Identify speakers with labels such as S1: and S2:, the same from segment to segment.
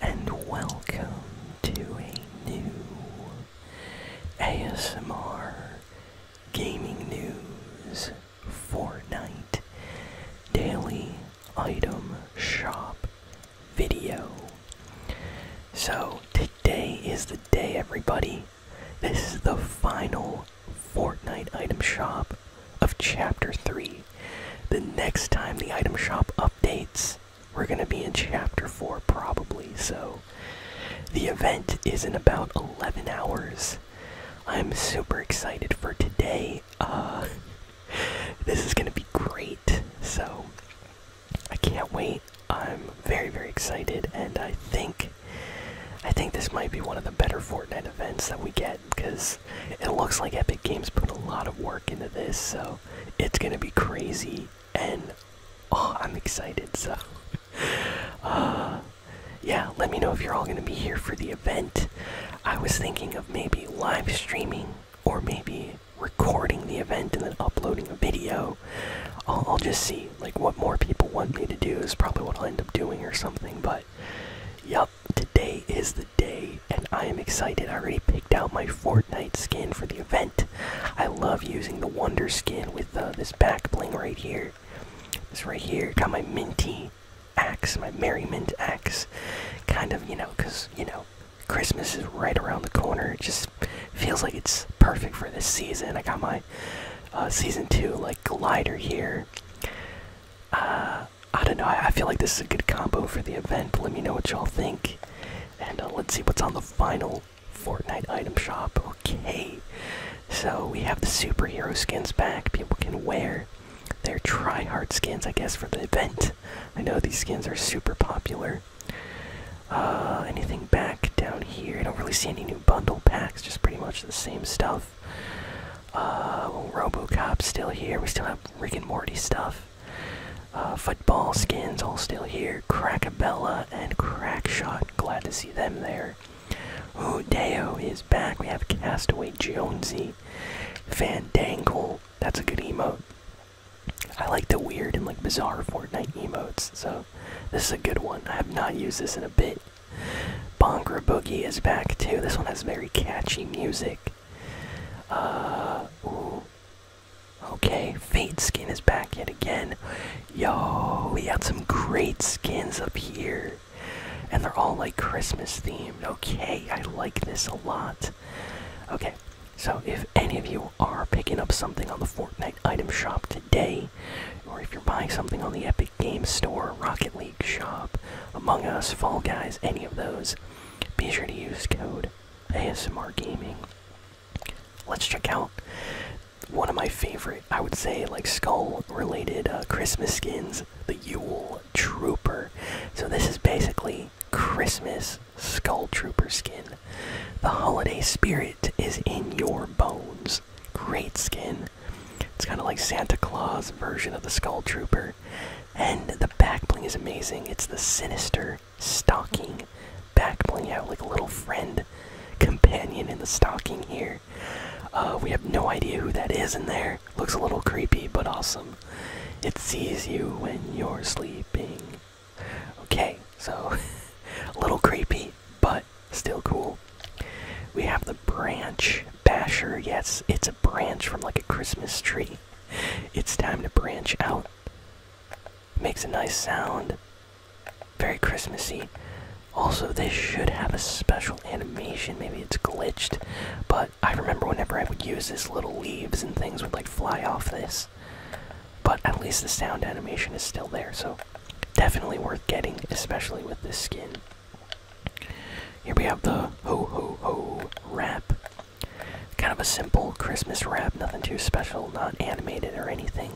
S1: and welcome to a new ASMR Gaming News Fortnite Daily Item Shop video. So, today is the day, everybody. This is the final Fortnite item shop of Chapter 3. The next time the item shop updates, we're going to be in chapter 4 probably, so the event is in about 11 hours. I'm super excited for today. Uh, this is going to be great, so I can't wait. I'm very, very excited, and I think. I think this might be one of the better Fortnite events that we get because it looks like Epic Games put a lot of work into this, so it's gonna be crazy, and oh, I'm excited. So, uh, yeah, let me know if you're all gonna be here for the event. I was thinking of maybe live streaming or maybe recording the event and then uploading a video. I'll just see like what more people want me to do is probably what I'll end up doing or something. But, yep, Today is the day, and I am excited. I already picked out my Fortnite skin for the event. I love using the Wonder skin with uh, this back bling right here. This right here. Got my minty axe, my merriment axe. Kind of, you know, because, you know, Christmas is right around the corner. It just feels like it's perfect for this season. I got my uh, season two, like, glider here. Uh, I don't know. I, feel like this is a good combo for the event. Let me know what y'all think. And uh, let's see what's on the final Fortnite item shop. Okay. So we have the superhero skins back. People can wear their tryhard skins, I guess, for the event. I know these skins are super popular. Uh, anything back down here? I don't really see any new bundle packs, just pretty much the same stuff. Uh, RoboCop's still here. We still have Rick and Morty stuff. Uh, football skins all still here. Crackabella and Crackshot. Glad to see them there. Hudeo is back. We have Castaway Jonesy. Fandangle. That's a good emote. I like the weird and like bizarre Fortnite emotes, so this is a good one. I have not used this in a bit. Bongra Boogie is back too. This one has very catchy music. Uh, Okay, Fade Skin is back yet again. Yo, we got some great skins up here. And they're all like Christmas themed. Okay, I like this a lot. Okay, so if any of you are picking up something on the Fortnite item shop today, or if you're buying something on the Epic Game Store, Rocket League Shop, Among Us, Fall Guys, any of those, be sure to use code ASMR Gaming. Let's check out one of my favorite, I would say, like skull related uh, Christmas skins, the Yule Trooper. So, this is basically Christmas Skull Trooper skin. The holiday spirit is in your bones great skin. It's kind of like Santa Claus version of the Skull Trooper. And the back bling is amazing. It's the sinister stalking back bling. You have like a little friend companion in the stalking here. Uh, we have no idea who that is in there. Looks a little creepy, but awesome. It sees you when you're sleeping. Okay, so a little creepy, but still cool. We have the branch basher. Yes, it's a branch from like a Christmas tree. It's time to branch out. Makes a nice sound. Very Christmassy. Also, this should have a special animation. Maybe it's glitched, but I remember whenever I would use this, little leaves and things would like fly off this. But at least the sound animation is still there, so definitely worth getting, especially with this skin. Here we have the ho ho ho wrap. Kind of a simple Christmas wrap, nothing too special, not animated or anything.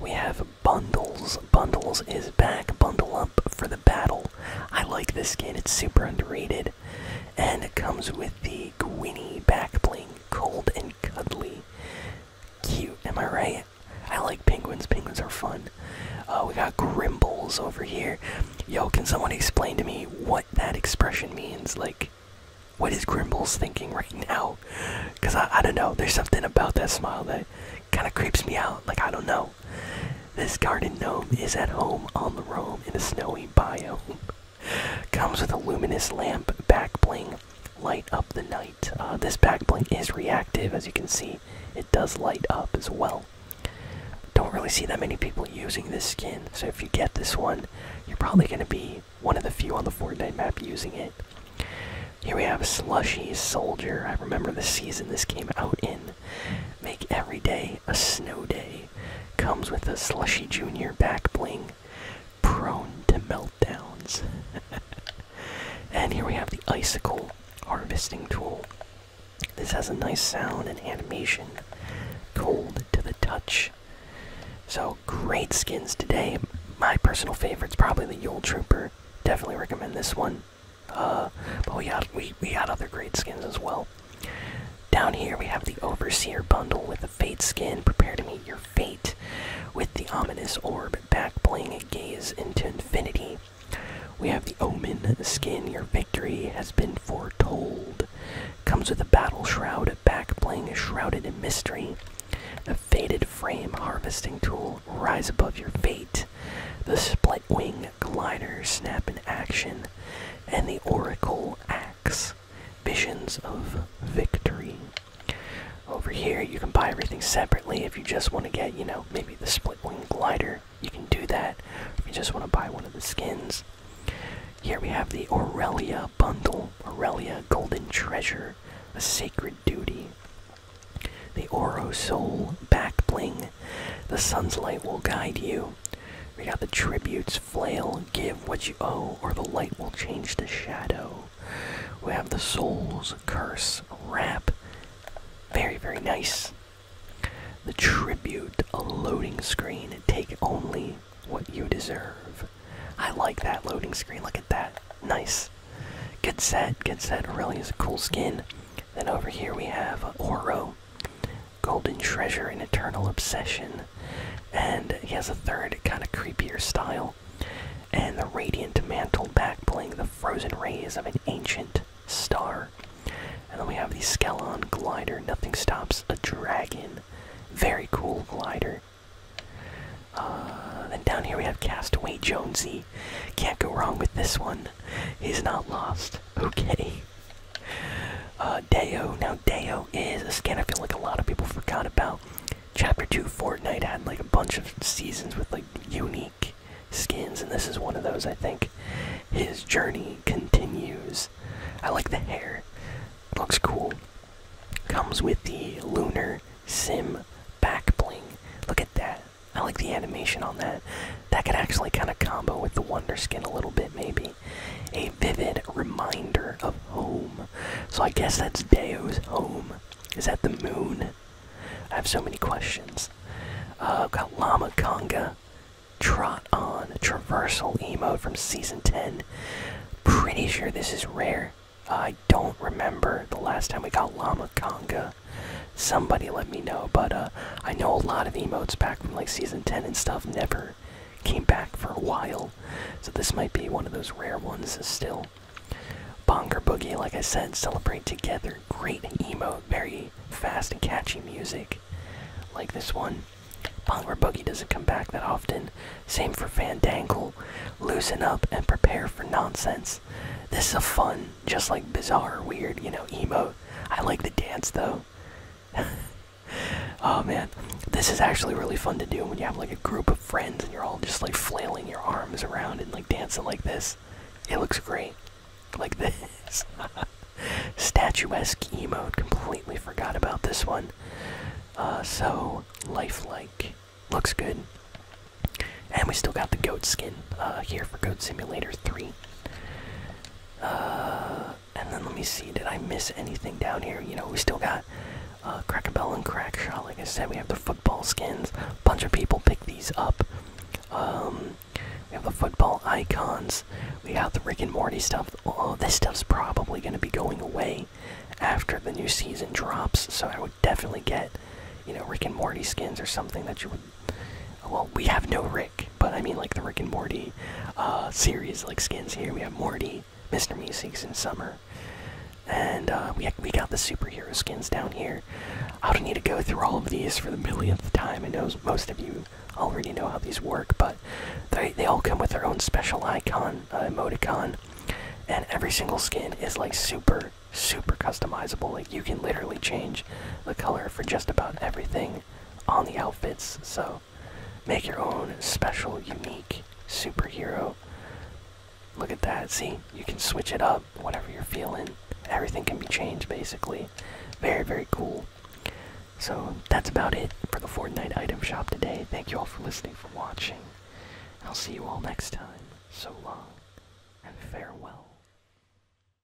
S1: We have Bundles. Bundles is back. Bundle up for the battle. I like this skin, it's super underrated. And it comes with the Gwinny back bling, cold and cuddly. Cute, am I right? I like penguins. Penguins are fun. Uh, we got Grimbles over here. Yo, can someone explain to me what that expression means? Like, what is Grimbles thinking right now? Because I, I don't know. There's something about that smile that kind of creeps me out. Like, I don't know. This garden gnome is at home on the roam in a snowy biome. Comes with a luminous lamp, back bling, light up the night. Uh, this back bling is reactive, as you can see. It does light up as well. Don't really see that many people using this skin, so if you get this one, you're probably going to be one of the few on the Fortnite map using it. Here we have Slushy Soldier. I remember the season this came out in. Make every day a snow day. Comes with a Slushy Junior back bling prone to meltdowns. and here we have the icicle harvesting tool. This has a nice sound and animation, cold to the touch. So great skins today. My personal favorite is probably the Yule Trooper. Definitely recommend this one. Uh, but we got we we got other great skins as well. Down here we have the Overseer bundle with the Fate skin. Prepare to meet your fate with the ominous orb back playing gaze into infinity. We have the Omen skin. Your victory has been foretold. Comes with a battle shroud, back playing shrouded in mystery. A faded frame harvesting tool. Rise above your fate. The split wing glider snap in action. And the Oracle axe visions of victory. Over here, you can buy everything separately if you just want to get, you know, maybe the split wing glider. You can do that if you just want to buy one of the skins. Here we have the Aurelia bundle Aurelia Golden Treasure, a sacred duty. The Oro Soul back bling. The sun's light will guide you. We got the tributes flail, give what you owe, or the light will change to shadow. We have the Soul's Curse rap, Very, very nice. The Tribute, a loading screen. Take only what you deserve. I like that loading screen. Look at that. Nice. Good set. Good set. Really is a cool skin. Then over here we have Oro, Golden Treasure, and Eternal Obsession and he has a third kind of creepier style. And the radiant mantle back, backbling the frozen rays of an ancient star. And then we have the Skelon glider, nothing stops a dragon. Very cool glider. Uh, then down here we have Castaway Jonesy. Can't go wrong with this one. He's not lost. Okay. Uh, Deo. Now, Deo is a skin I feel like a lot of people forgot about. Chapter 2 Fortnite had like a bunch of seasons with like unique skins, and this is one of those, I think. His journey continues. I like the hair, looks cool. Comes with the Lunar Sim back bling. Look at that. I like the animation on that. That could actually kind of combo with the Wonder Skin a little bit, maybe a vivid reminder of home. So I guess that's Deo's home. Is that the moon? I have so many questions. I've uh, got Llama Conga, Trot On, Traversal Emote from Season 10. Pretty sure this is rare. I don't remember the last time we got Llama Conga. Somebody let me know, but uh, I know a lot of emotes back from like Season 10 and stuff never came back for a while. So this might be one of those rare ones still. Bonker Boogie, like I said, celebrate together. Great emo, very fast and catchy music. Like this one. Bonker Boogie doesn't come back that often. Same for Fan Dangle, Loosen up and prepare for nonsense. This is a fun, just like bizarre, weird, you know, emo. I like the dance though. oh man, this is actually really fun to do when you have like a group of friends and you're all just like flailing your arms around and like dancing like this. It looks great, like this. Statuesque emote. Completely forgot about this one. Uh, so lifelike, looks good. And we still got the goat skin uh, here for Goat Simulator 3. Uh, and then let me see, did I miss anything down here? You know, we still got uh, Crackabell and Crackshot. Like I said, we have the football skins. Bunch of people pick these up. Um, we have the football icons. We got the Rick and Morty stuff. Oh, this stuff's probably going to be going away after the new season drops. So I would definitely get, you know, Rick and Morty skins or something that you would. Well, we have no Rick but I mean like the Rick and Morty uh, series, like skins. Here we have Morty, Mr. Musings, and Summer, and uh, we we got the superhero skins down here. I don't need to go through all of these for the millionth time. I know most of you already know how these work, but they they all come with their own special icon uh, emoticon, and every single skin is like super super customizable like you can literally change the color for just about everything on the outfits. So make your own special, unique superhero. Look at that. See, you can switch it up, whatever you're feeling. Everything can be changed basically. Very, very cool. So that's about it for the Fortnite item shop today. Thank you all for listening, for watching. I'll see you all next time. So long and farewell.